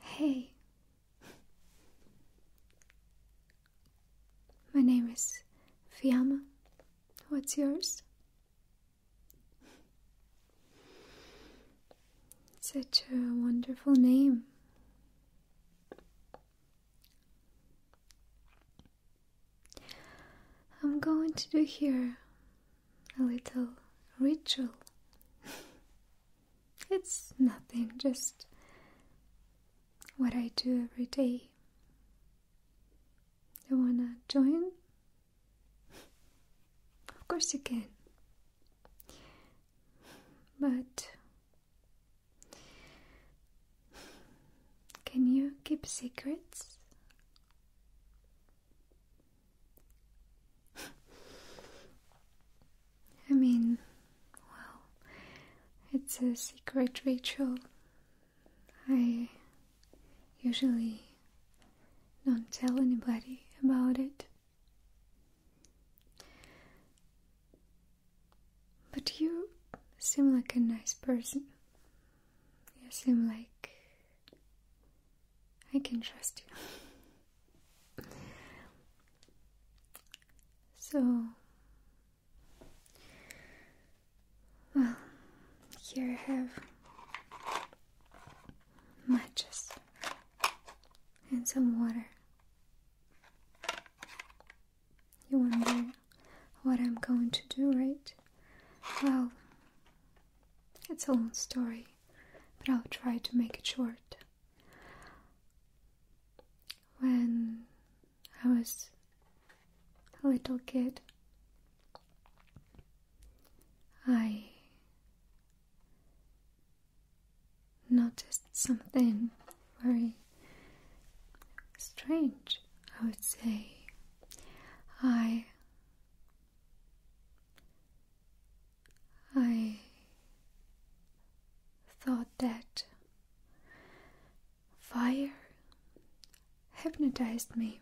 Hey, my name is Fiamma. What's yours? Such a wonderful name. I'm going to do here a little ritual. it's nothing, just what I do every day. You wanna join? of course you can. But can you keep secrets? I mean, well, it's a secret ritual. I usually don't tell anybody about it. But you seem like a nice person. You seem like I can trust you. so, well, here I have matches and some water. You wonder what I'm going to do, right? Well, it's a long story, but I'll try to make it short. When I was a little kid, I noticed something very strange, I would say. I I thought that fire hypnotized me.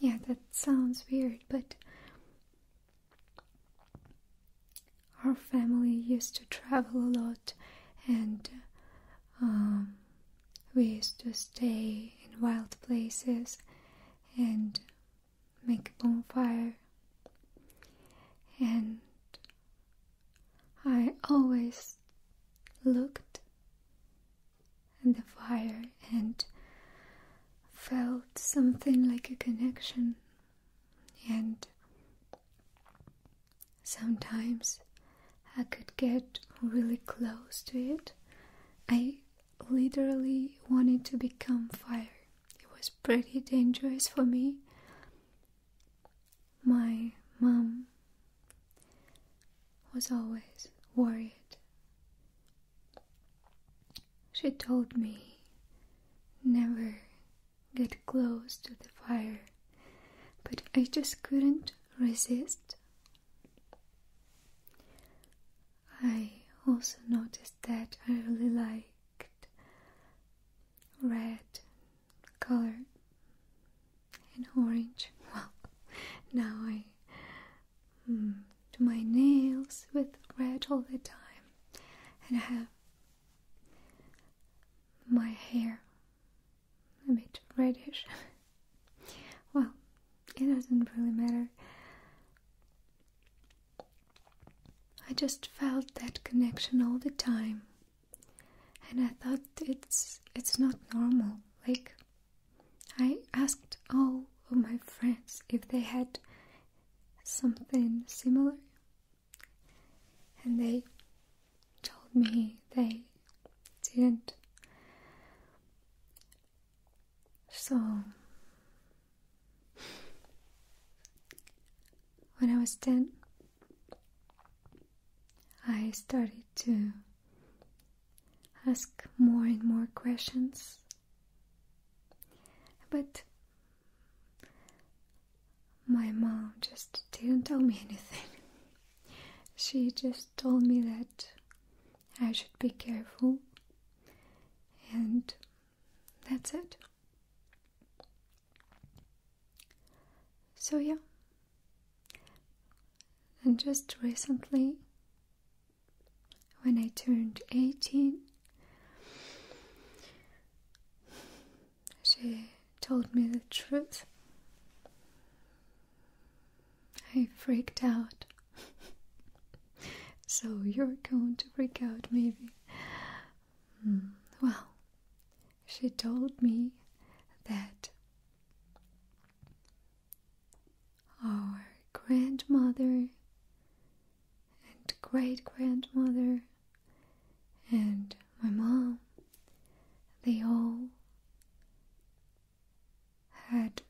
Yeah, that sounds weird, but our family used to travel a lot and um, we used to stay in wild places and make a bonfire. And I always looked at the fire and felt something like a connection. And sometimes I could get really close to it. I literally wanted to become fire. It was pretty dangerous for me. My mom was always worried. She told me never get close to the fire, but I just couldn't resist. I also noticed that I really liked red color and orange. Well, now I mm, do my nails with red all the time, and I have my hair a bit reddish. well, it doesn't really matter. I just felt that connection all the time, and I thought it's it's not normal. Like I asked all of my friends if they had something similar, and they told me they didn't. So, when I was 10, I started to ask more and more questions. But my mom just didn't tell me anything. She just told me that I should be careful, and that's it. So, yeah, and just recently, when I turned 18, she told me the truth. I freaked out. so you're going to freak out, maybe. Hmm, well, she told me that our grandmother and great grandmother and my mom, they all had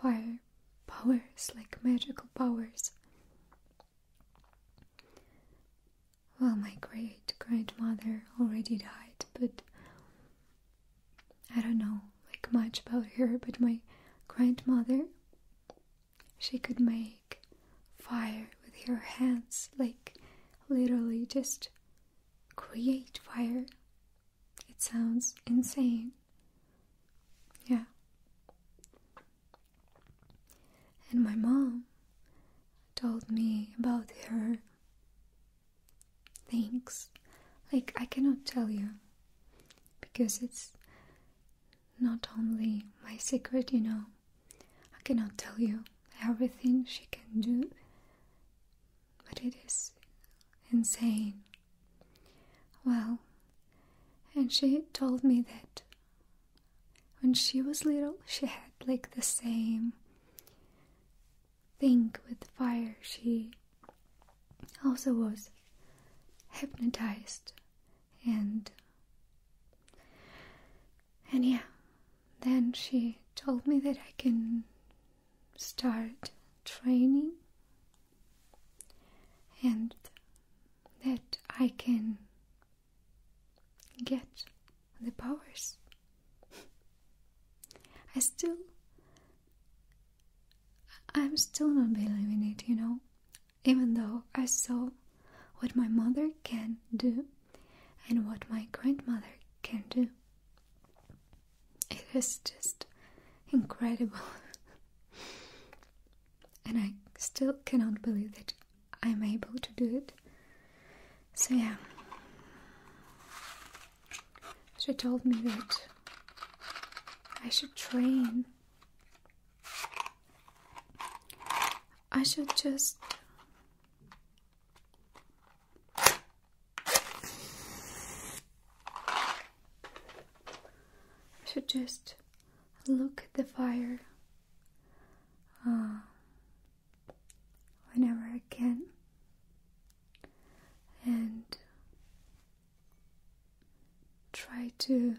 fire powers, like magical powers. Well, my great grandmother already died, but I don't know like much about her, but my grandmother she could make fire with her hands, like literally just create fire it sounds insane. Yeah. And my mom told me about her things. Like, I cannot tell you because it's not only my secret, you know. I cannot tell you everything she can do, but it is insane. Well, and she told me that when she was little, she had like the same thing with fire. She also was hypnotized and and yeah then she told me that I can start training and that I can get the powers. I still. I'm still not believing it, you know, even though I saw what my mother can do and what my grandmother can do. It is just incredible. And I still cannot believe that I'm able to do it. So, yeah. She told me that I should train. I should just. I should just look at the fire uh, whenever I can and try to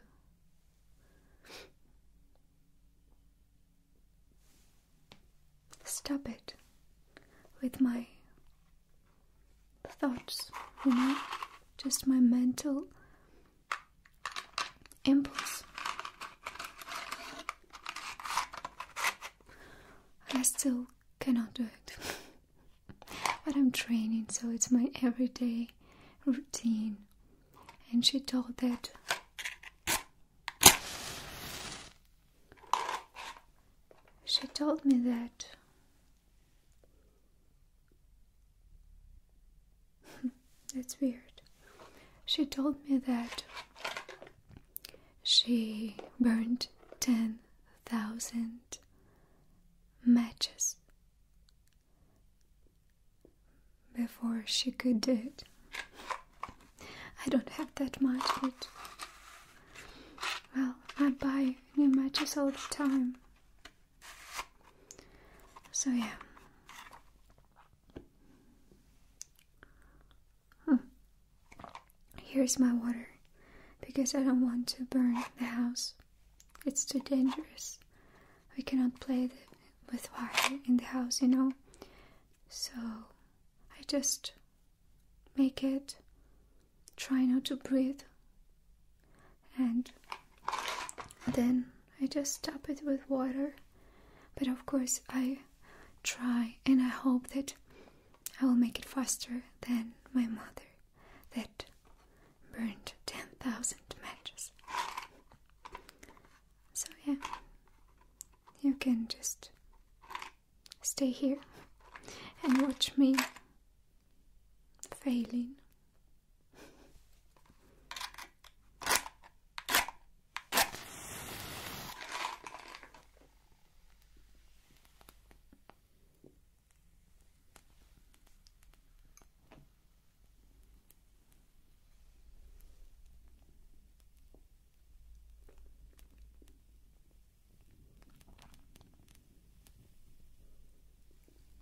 stop it with my thoughts, you know, just my mental impulse. I still cannot do it, but I'm training, so it's my everyday routine. And she told that she told me that That's weird. She told me that she burned 10,000 matches before she could do it. I don't have that much, but well, I buy new matches all the time. So, yeah. Hmm. Here's my water because I don't want to burn the house. It's too dangerous. We cannot play with fire in the house, you know. So I just make it try not to breathe and then I just tap it with water. But of course, I try and I hope that I will make it faster than my mother that burned 10,000 matches. So, yeah, you can just stay here and watch me failing.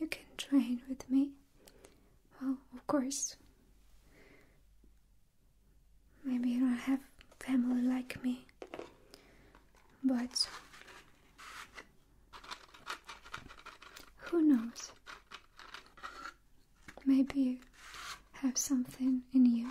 You can train with me. Well, of course. Maybe you don't have family like me, but who knows? Maybe you have something in you.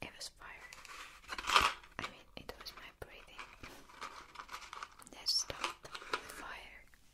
It was fire. I mean, it was my breathing that stopped the fire.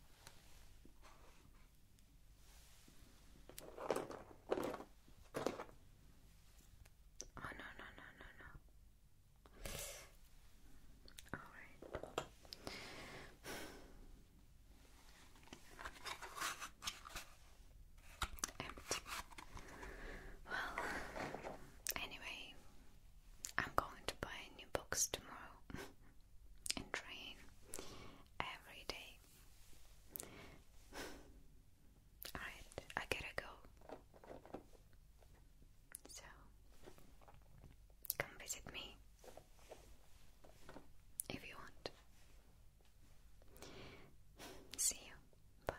Oh no no no no no. Alright. Empty. Well anyway, I'm going to buy new books tomorrow and train every day. Alright, I gotta go. So, come visit me if you want. See you. Bye.